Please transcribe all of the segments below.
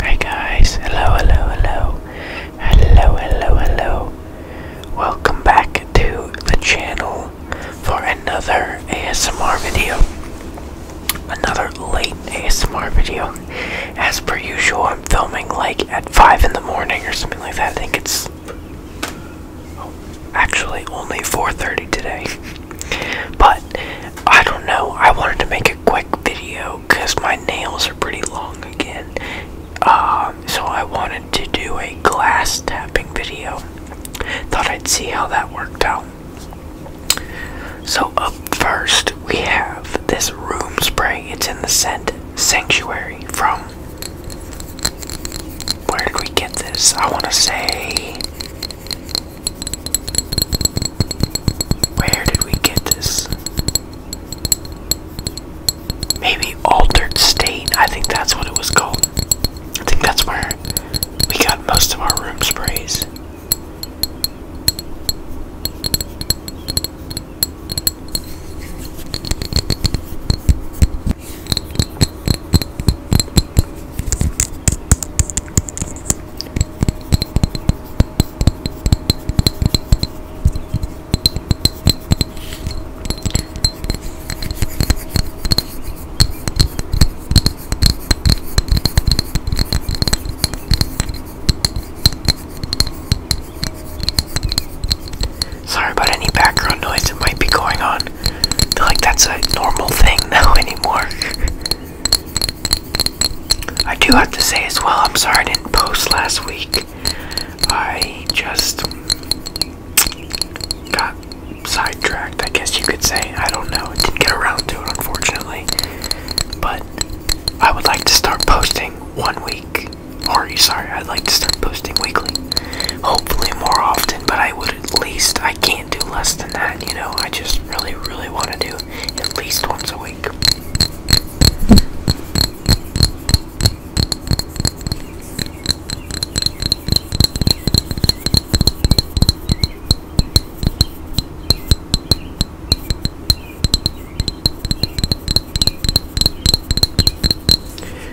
Hi guys, hello, hello, hello, hello, hello, hello. Welcome back to the channel for another ASMR video. Another late ASMR video. As per usual, I'm filming like at 5 in the morning or something like that. I think it's oh, actually only 4.30 today. But I don't know. I wanted to make a quick video because my nails are pretty long again. Um, so I wanted to do a glass tapping video. Thought I'd see how that worked out. So up first we have this room spray. It's in the scent sanctuary from where did we get this? I want to say where did we get this? Maybe Altered State. I think that's what it was called. I think that's where we got most of our room sprays. Sorry about any background noise that might be going on like that's a normal thing now anymore. I do have to say as well, I'm sorry I didn't post last week. I just got sidetracked, I guess you could say. I don't know. I didn't get around to it, unfortunately. But I would like to start posting one week. Or, sorry, I'd like to start posting weekly. Hopefully more often, but I would at least, I can't can do less than that, you know. I just really, really want to do at least once a week.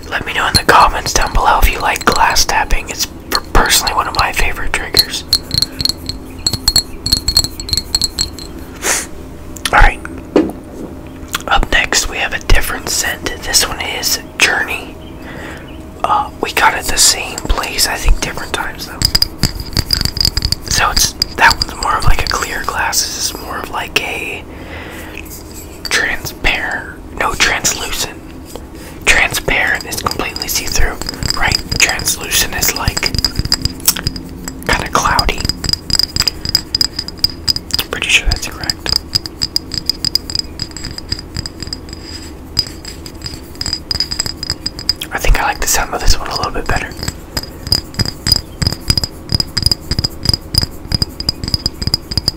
Let me know in the comments down below if you like glass tapping. It's personally one of my favorite triggers. Alright. Up next, we have a different scent. This one is Journey. Uh, we got it the same place, I think, different times though. So it's that one's more of like a clear glass. This is more of like a transparent, no translucent. Transparent is completely see through, right? Translucent is like kind of cloudy. i pretty sure that's correct. I think I like the sound of this one a little bit better.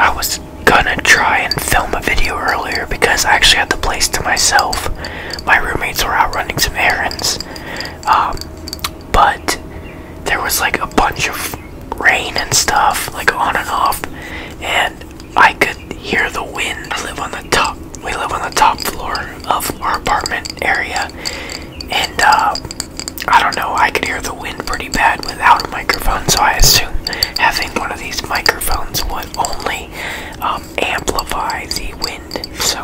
I was gonna try and film a video earlier because I actually had the place to myself. My roommates were out running some errands. Um, but there was like a bunch of rain and stuff, like on and off, and I could hear the wind. I live on the top. We live on the top floor of our apartment area, and uh, I don't know. I could hear the wind pretty bad without a microphone, so I assume having one of these microphones would only um, amplify the wind. So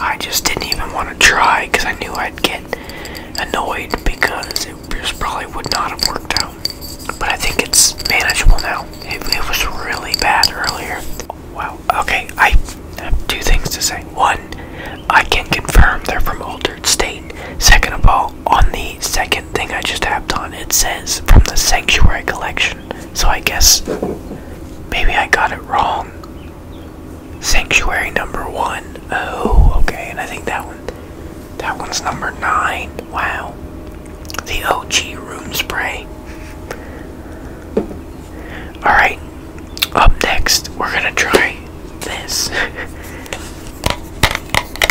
I just didn't even want to try because I knew I'd get annoyed because it just probably would not have worked out. But I think it's manageable now. It, was really bad earlier. Wow. Okay, I have two things to say. One, I can confirm they're from Altered State. Second of all, on the second thing I just tapped on, it says from the Sanctuary Collection. So I guess maybe I got it wrong. Sanctuary number one. Oh, okay, and I think that one that one's number nine. Wow. The OG room spray. Alright. Up next we're gonna try this.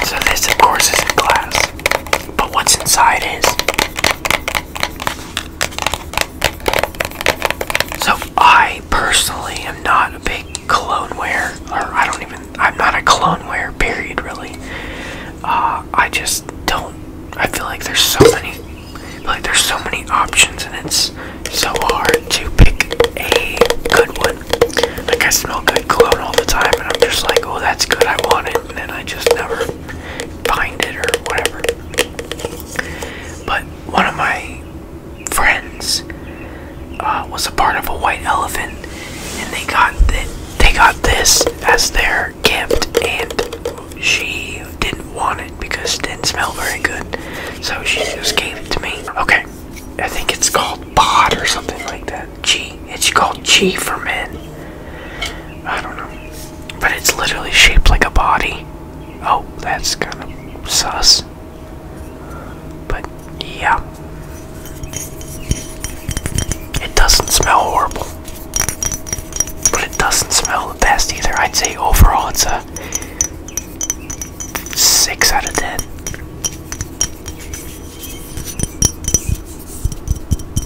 so this of course is in glass. But what's inside is so I personally am not a big cologne wear, or I don't even. I'm not a cologne wear. Period. Really. Uh, I just don't. I feel like there's so many. Like there's so many options, and it's so hard to pick a good one. Like I smell good cologne all the time, and I'm just like, oh, that's good. I want it, and then I just never find it or whatever. But one of my friends uh, was a part of a white elephant, and they got th they got this as their gift, and she didn't want it because it didn't smell very good, so she just gave it to me. Okay, I think it's called pod or something like that. G. It's called G for men. I don't know. But it's literally shaped like a body. Oh, that's kind of sus. But yeah. It doesn't smell horrible. But it doesn't smell the best either. I'd say overall it's a 6 out of 10.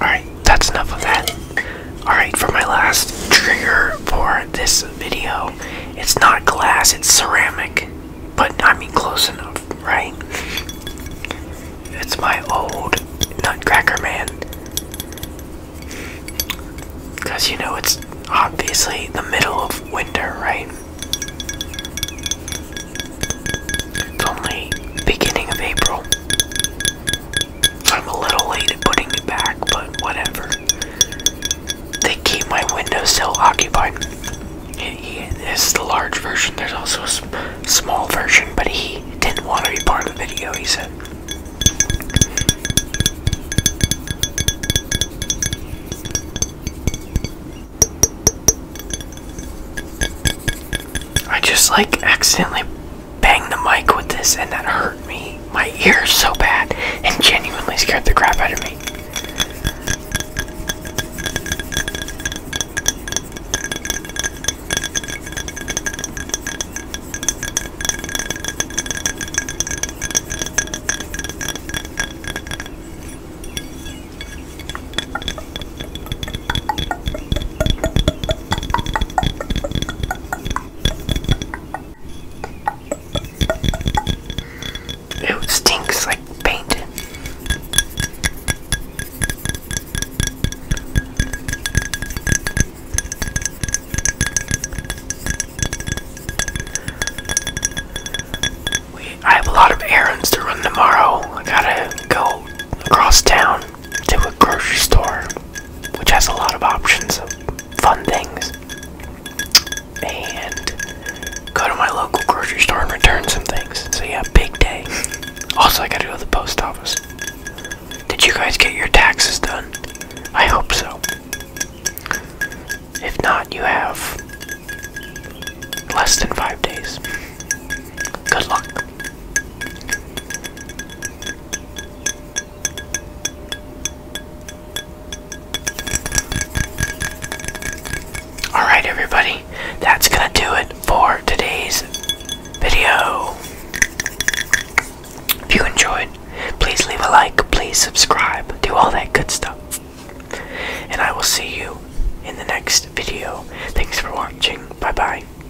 Alright, that's enough of that. Alright, for my last trigger for this video, it's not glass, it's ceramic. But I mean, close enough, right? It's my old Nutcracker Man. Because you know, it's obviously the middle of winter, right? It's only beginning of April. I'm a little late at putting it back, but whatever. They keep my windowsill occupied. This is the large version. There's also a small version, but he didn't want to be part of the video, he said. I just like accidentally banged the mic with this and that hurt me. My ears so bad and genuinely scared the crap out of me. It stinks like paint. I have a lot of errands to run tomorrow. I gotta go across town to a grocery store, which has a lot of options of fun things, and go to my local grocery store and return some things. So, yeah, big day. Also, I gotta go to the post office. Did you guys get your taxes done? I hope so. If not, you have less than five days. Good luck. Alright, everybody, that's gonna do it for today's video. If you enjoyed, please leave a like, please subscribe, do all that good stuff. And I will see you in the next video. Thanks for watching. Bye bye.